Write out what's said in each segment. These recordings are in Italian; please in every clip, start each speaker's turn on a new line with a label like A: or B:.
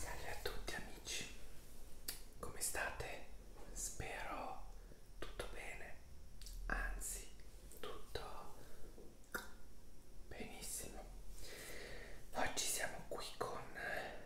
A: Salve a tutti amici, come state? Spero tutto bene, anzi tutto benissimo. Oggi siamo qui con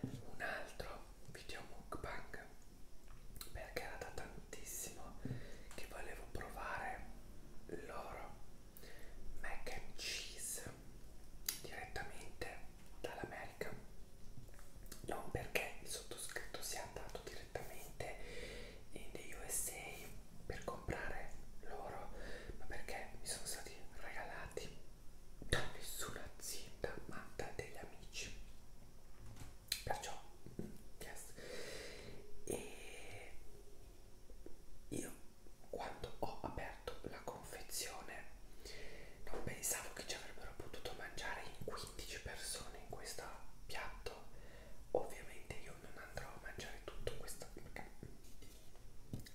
A: un altro video mukbang perché era da tantissimo che volevo provare loro mac and cheese direttamente dall'America non perché il sottoscritto sia andato direttamente in the USA per comprare loro ma perché mi sono stati regalati da nessuna azienda ma da degli amici perciò mm, yes. e io quando ho aperto la confezione non pensavo che ci avrebbero potuto mangiare in 15 persone in questo piatto ovviamente io non andrò a mangiare tutto questo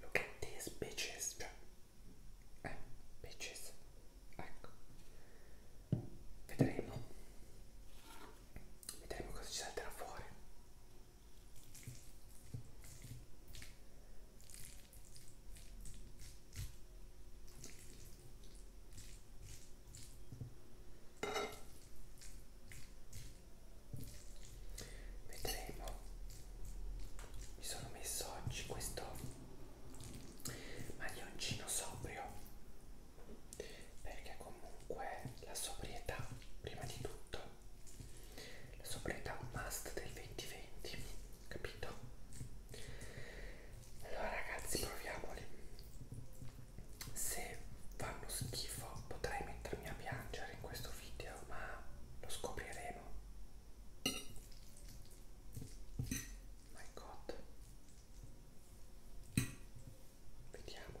A: Look at these bitches, cioè, eh, bitches, ecco vedremo vedremo cosa ci salterà fuori vedremo mi sono messo oggi questo maglioncino sobrio perché comunque la sobrietà prima di tutto la sobrietà è un must del 2020 capito allora ragazzi proviamoli se fanno schifo potrei mettermi a piangere in questo video ma lo scopriremo my god vediamo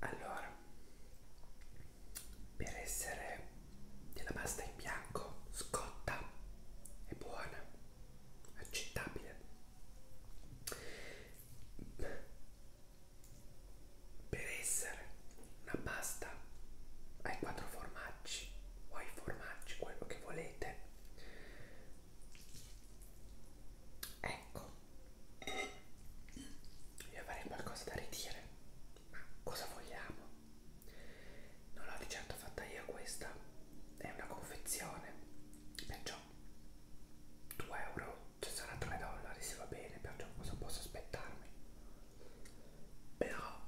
A: Allora, per essere della pasta in bianco scotta è buona, accettabile. Per essere una pasta ai quattro formaggi o ai formaggi, quello che volete, Ecco, io avrei qualcosa da ridire, ma cosa vogliamo? Non l'ho di certo fatta io questa, è una confezione, perciò 2 euro, ci cioè sarà 3 dollari, se va bene, perciò cosa posso aspettarmi? Però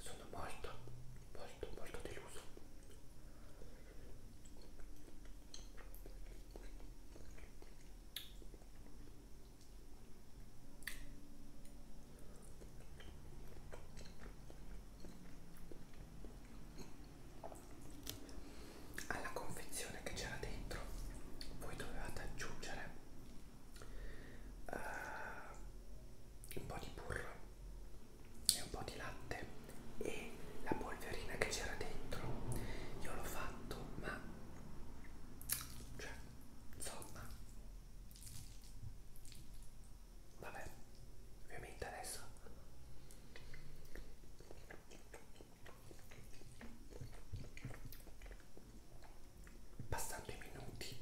A: sono molto molto molto deluso alla confezione che c'era dentro voi dovevate aggiungere uh, un po' di burro e un po' di latte e la polverina che c'era dentro io l'ho fatto ma cioè insomma vabbè ovviamente adesso passando i minuti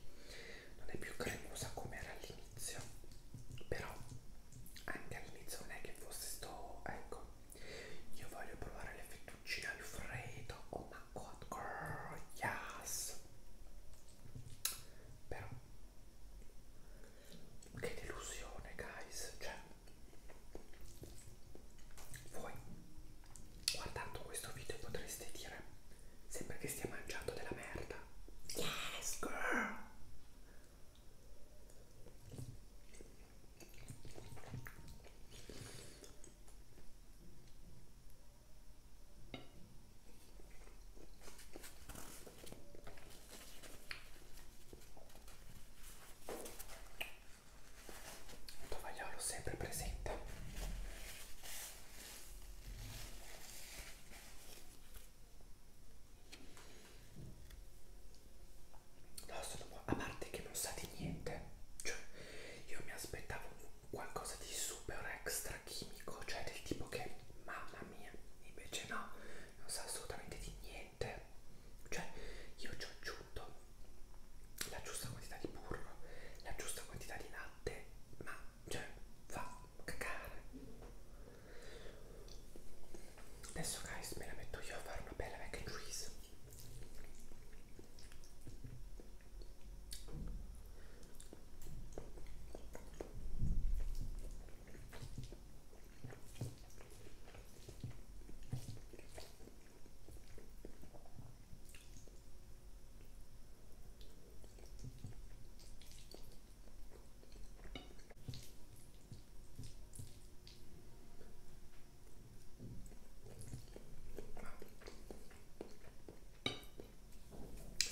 A: non è più cremosa come era all'inizio però anche all'inizio non è che fosse sto ecco io voglio provare le fettuccine al freddo oh my god girl yes però che delusione guys cioè voi, guardando questo video, potreste dire: Sembra che stia mangiando della merda. Yes, girl! il tovagliolo sempre presente no sono a parte che non sa di niente cioè io mi aspettavo qualcosa di super extra chimico cioè del tipo che mamma mia invece no non sa assolutamente di niente cioè io ci ho aggiunto la giusta quantità di burro, la giusta quantità di latte, ma cioè fa cacare. Adesso guys me la metto io a fare una bella mac and cheese.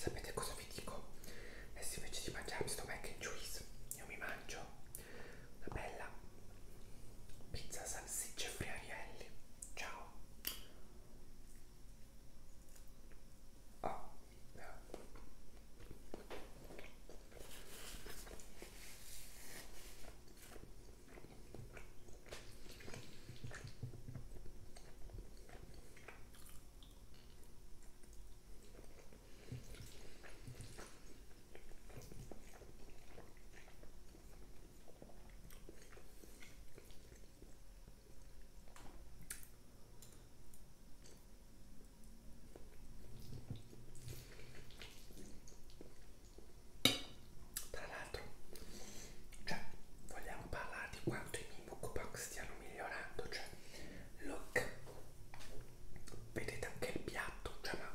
A: Sapete cosa vi dico? Adesso invece di mangiarmi sto mac and cheese, io mi mangio una bella Pizza salsiccia e friarielli. Ciao. Oh. Tra l'altro, cioè, vogliamo parlare di quanto i miei mukbang stiano migliorando, cioè, look, vedete anche il piatto, cioè, ma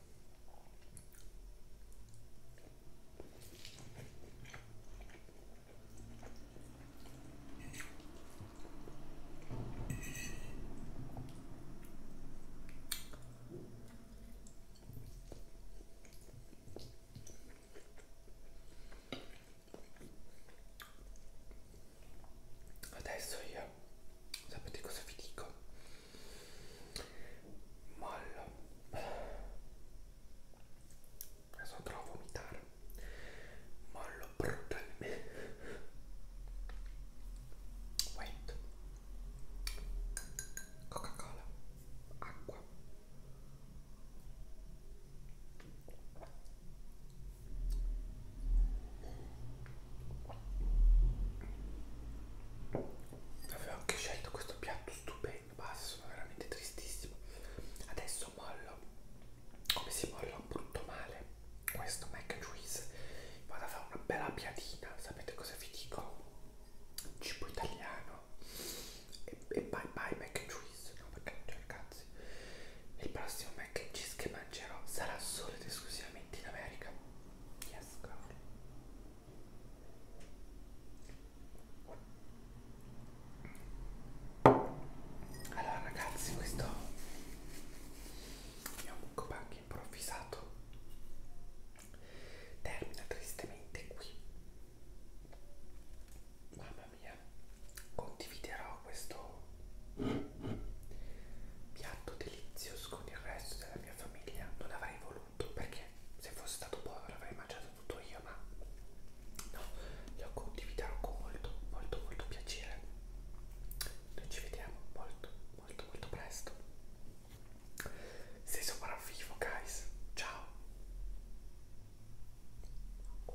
A: Adesso io sapete cosa vi dico? molla adesso andrò a vomitare mollo brutalmente wait coca cola acqua Avevo anche scelto questo piatto stupendo, basta, sono veramente tristissimo. Adesso mollo, come si molla un brutto male, questo mac and cheese. Vado a fare una bella piadina, sapete cosa vi dico? Cibo italiano. E, e bye bye mac and cheese, no perché non c'è cazzi. Il prossimo mac and cheese che mangerò sarà solo ed esclusivamente in America. Yes, girl. Allora ragazzi, questo mio mukbang improvvisato termina tristemente qui. Mamma mia, condividerò questo piatto delizioso con il resto della mia famiglia. Non avrei voluto tutto perché se fosse stato povero avrei mangiato tutto io, ma no, lo condividerò con molto, molto, molto piacere. Noi ci vediamo molto, molto, molto presto. Se sopravvivo, guys, ciao. Qua.